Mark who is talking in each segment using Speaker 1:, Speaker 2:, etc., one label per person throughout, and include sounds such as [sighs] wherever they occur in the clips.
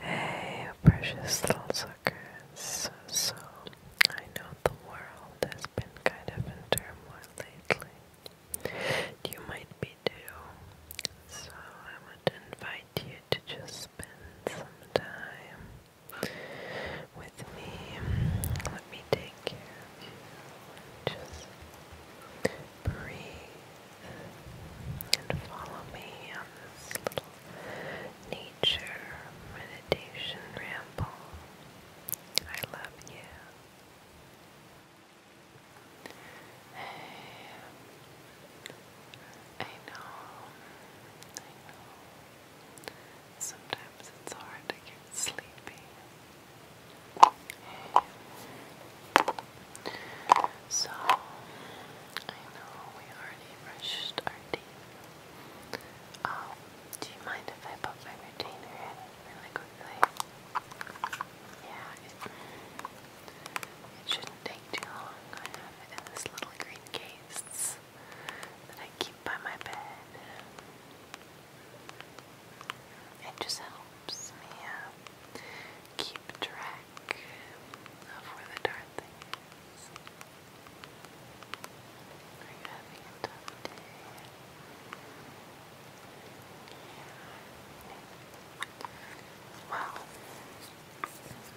Speaker 1: Hey, precious little suckers. So, I know the world has been kind of in turmoil lately. You might be too. So, I want to invite you to just spend some time with me. Let me take care of you. Just breathe and follow me on this little nature meditation ramble. I love you. I know, I know. Sometimes it's hard to get sleepy. So, I know we already brushed our teeth. Um, do you mind if I put my retainer in really quickly? Yeah, it, shouldn't take too long. I have it in this little green case that I keep by my bed. It just helps me uh, track of the darn thing Well,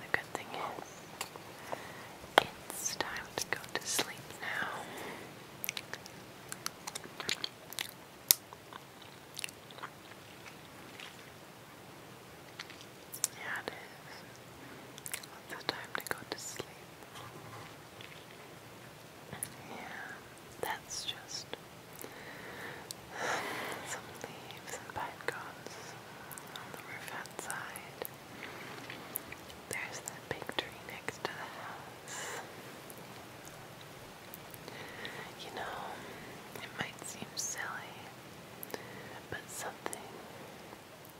Speaker 1: the good thing is, it's time to go to sleep now. Yeah, it is. It's time to go to sleep. Yeah, that's just [sighs] some leaves and pine on the roof outside. There's that big tree next to the house. You know, it might seem silly, but something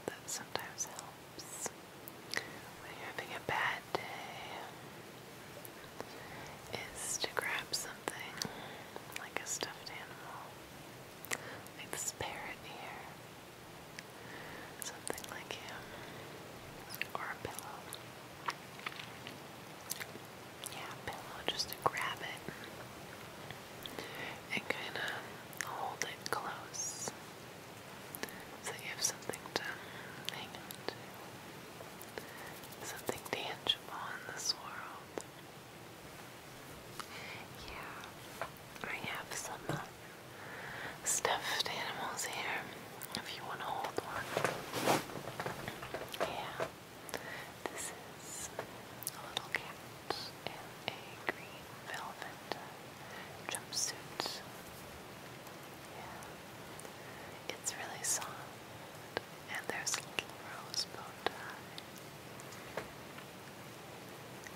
Speaker 1: that sometimes helps when you're having a bad day is to grab something like a stuffed animal, like this parrot here, something like him, or a pillow yeah, pillow just to grab it and kind of hold it close so you have something to something tangible in this world. Yeah, I have some uh, stuffed animals here if you want to hold one. Yeah. This is a little cat in a green velvet jumpsuit. Yeah. It's really soft. And there's a little rosebud.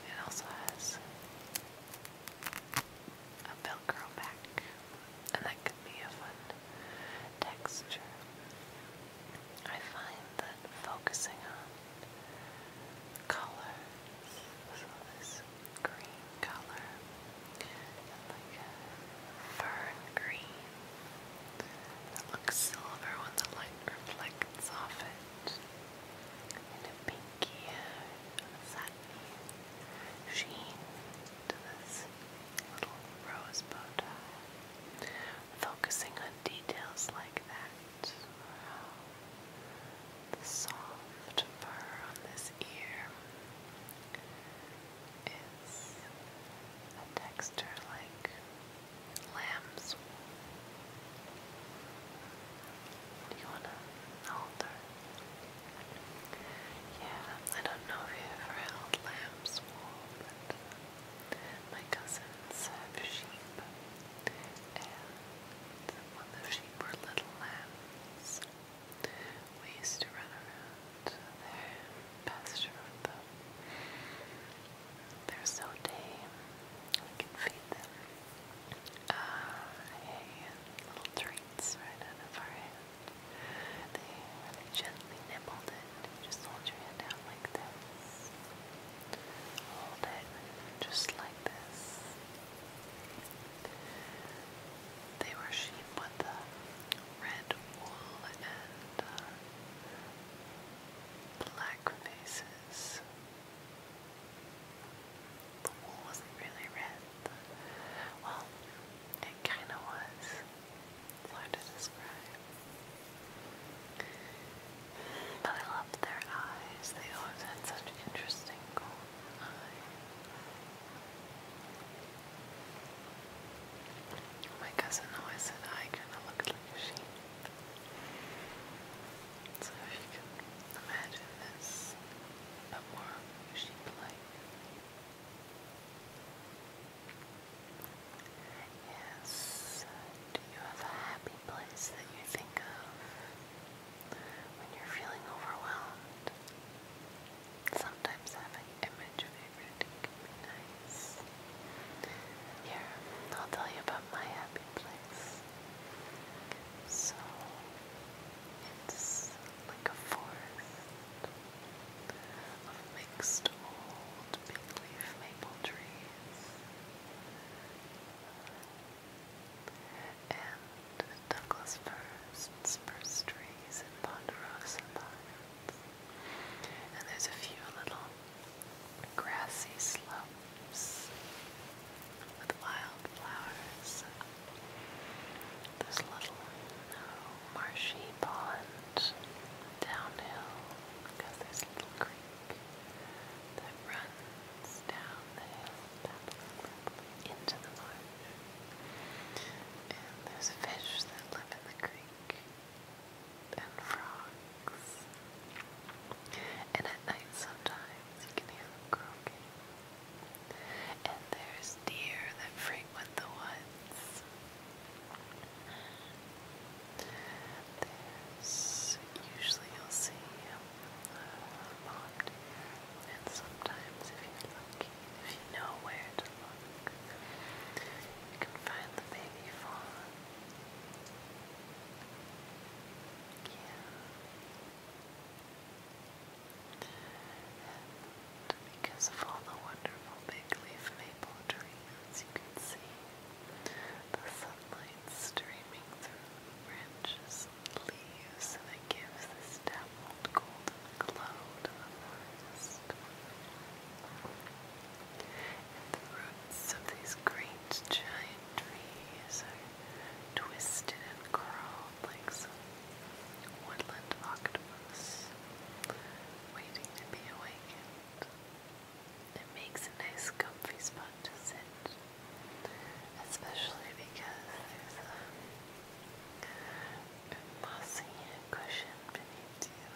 Speaker 1: It also has a velcro back. And that be a fun texture. I find that focusing on colors, so this green color, like a fern green that looks silver when the light reflects off it, and a pinky, uh, satiny sheen to this little rose Focusing on details like that. Wow. The soft fur on this ear is a texture like lamb's wool. Do you want to hold her? Yeah, I don't know if you ever held lamb's wool, but my cousins have sheep, and when the sheep were little lambs, we used to run around their pasture They're so tame. We can feed them ah, hay and little treats right out of our hands. They really gently nibbled it. Just hold your hand down like this. Hold it just like this. They were sheep with a red wool and uh, black faces. The wool was really red. Well, it kind of was. hard to describe. But I loved their eyes. They always had such interesting golden eyes. My cousin always said I kind of looked like a So if you can imagine this, but more sheep-like. Yes. Do you have a happy place that you think of when you're feeling overwhelmed? Sometimes having an image favorite can be nice. Here, I'll tell you about my happy place. it's like a forest of mixed old big maple trees and Douglas firs spruce trees and ponderosa pines. And there's a few little grassy slopes with wildflowers. There's a little marshy pond downhill because there's a little creek that runs down the hill into the marsh. And there's fish that live in the creek and frogs. And at night sometimes you can hear them croaking. And there's deer that frequent the woods. There's usually you'll see a pond and sometimes if you're lucky, if you know where to look, you can find the baby fawn. Yeah because of all the wonderful big leaf maple trees you can see, the sunlight streaming through the branches leaves, and it gives this dappled gold glow to the forest. And the roots of these great giant trees are twisted and curled like so woodland octopus waiting to be awakened. It makes a nice comfy spot to sit, especially because there's a mossy cushion beneath you.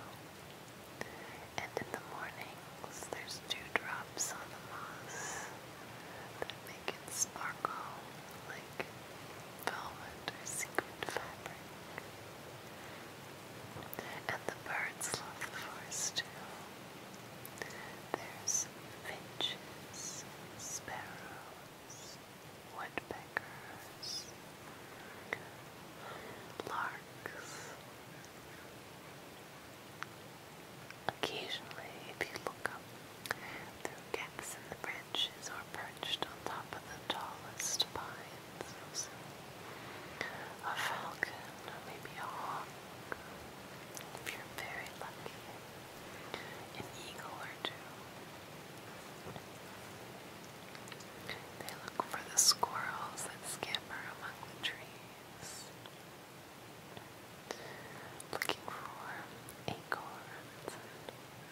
Speaker 1: And in the mornings, there's dewdrops on the moss that make it sparkle like velvet or sequined fabric. And the birds love the forest too. There's finches, sparrows, woodpeckers, larks. Occasionally, if you look up through and the branches are perched on top of the tallest pines. A falcon, or maybe a hawk, if you're very lucky. An eagle or two. They look for the squirrels that scamper among the trees. Looking for acorns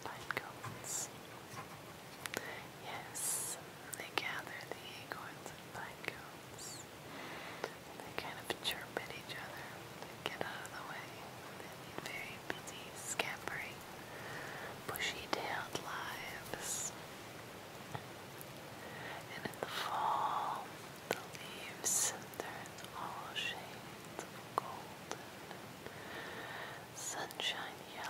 Speaker 1: pine cones. Yes, they gather the acorns and pine cones. They kind of chirp at each other. They get out of the way. They lead very busy, scampering, bushy-tailed lives. And in the fall, the leaves turn all shades of golden sunshine yellow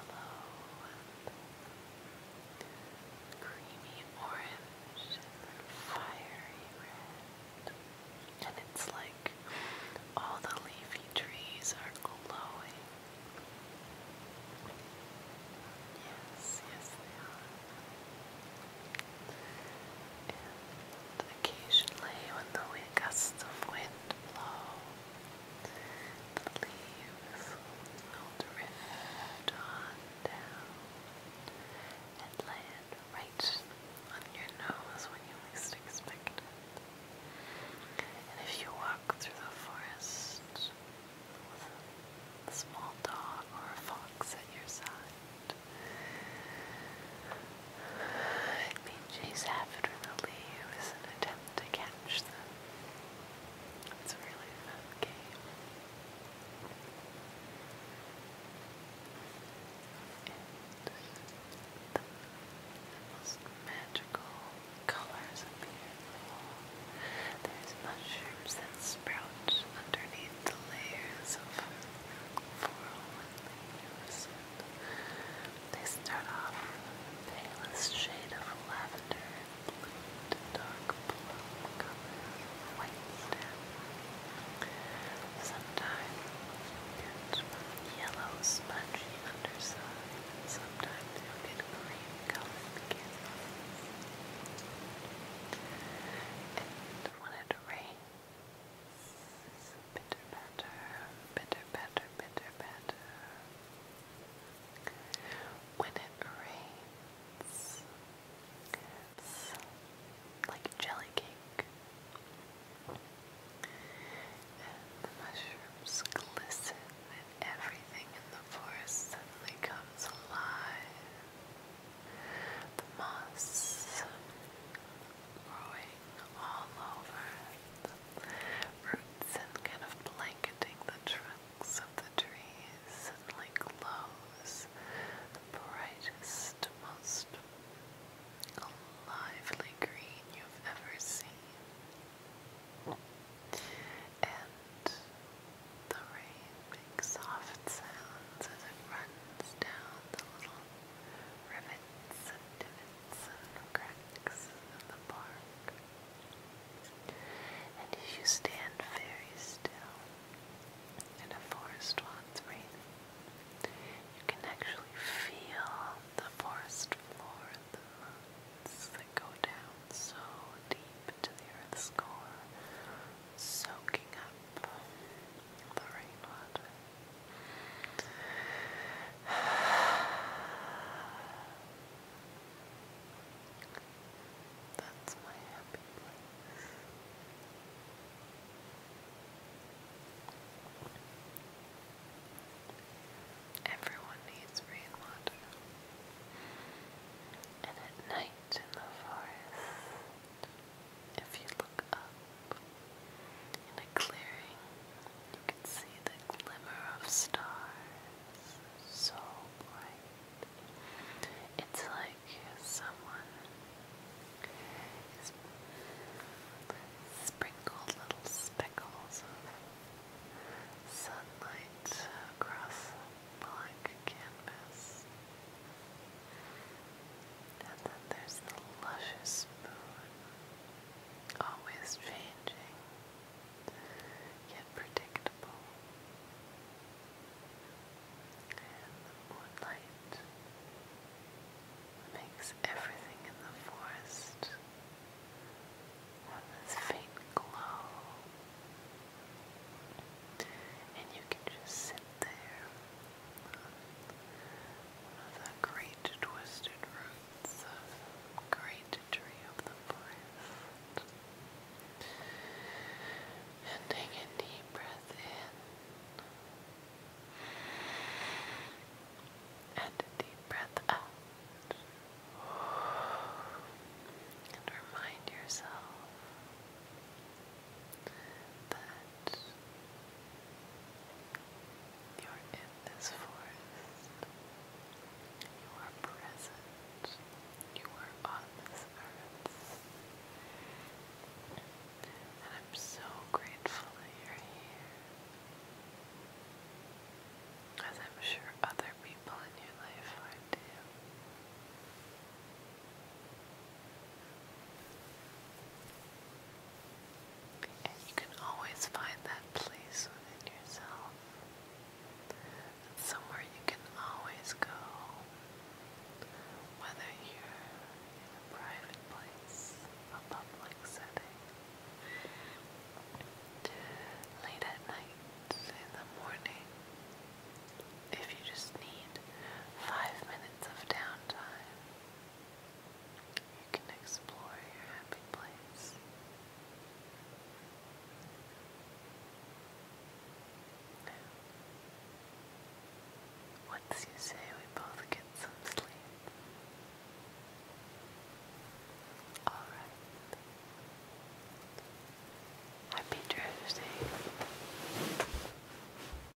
Speaker 1: creamy orange fiery red. And it's like all the leafy trees are glowing. Yes, yes they are occasionally when the wind gusts of wind blow, the leaves will drift on down and land right on your nose when you least expect it. And if you walk through the forest with a small dog or a fox at your side, BJ's affinity was an attempt to catch them. It's a really fun game. And the most magical colors appear There's mushrooms that sprout underneath the layers of floral and oh leaves. They start off with a palest shade of lavender and blue to dark blue, colors and white stem. Sometimes you'll get yellow spongy underside, sometimes you green colored And when it rains, Bitter batter, bitter batter, bitter batter. When it rains, like jelly cake. And the mushrooms glisten, and everything in the forest suddenly comes alive. The moss, growing all over the roots and kind of blanketing the trunks of the trees and like glows the brightest, most lively green you've ever seen. And the rain makes soft sounds as it runs down the little rivets and divots and cracks in the bark. And if you stand very still in a forest while it's raining, you can actually feel the forest floor and the roots that go down so deep into the earth's core, soaking up the rainwater. That's my happy place. Everyone needs rainwater. And at night in the forest, if you look up in a clearing, you can see the glimmer of stars so bright. It's like someone has sprinkled little speckles of sunlight across blank canvas. And then there's the luscious spoon, always changing, yet predictable. And the moonlight makes everything in the forest on this faint glow. And you can just sit there the great twisted roots the great tree of the forest. And take a deep breath in. And a deep breath out. And remind yourself that you are in this forest, you are present, you are on this earth. And I'm so grateful that you're here. As I'm sure other people in your life are too. And you can always find that place within yourself. That's somewhere you can always go, whether you're in a private place, a public setting, late at night, in the morning. If you just need five minutes of downtime, you can explore your happy place. Now, once you say we both get some sleep, alright. Happy Thursday.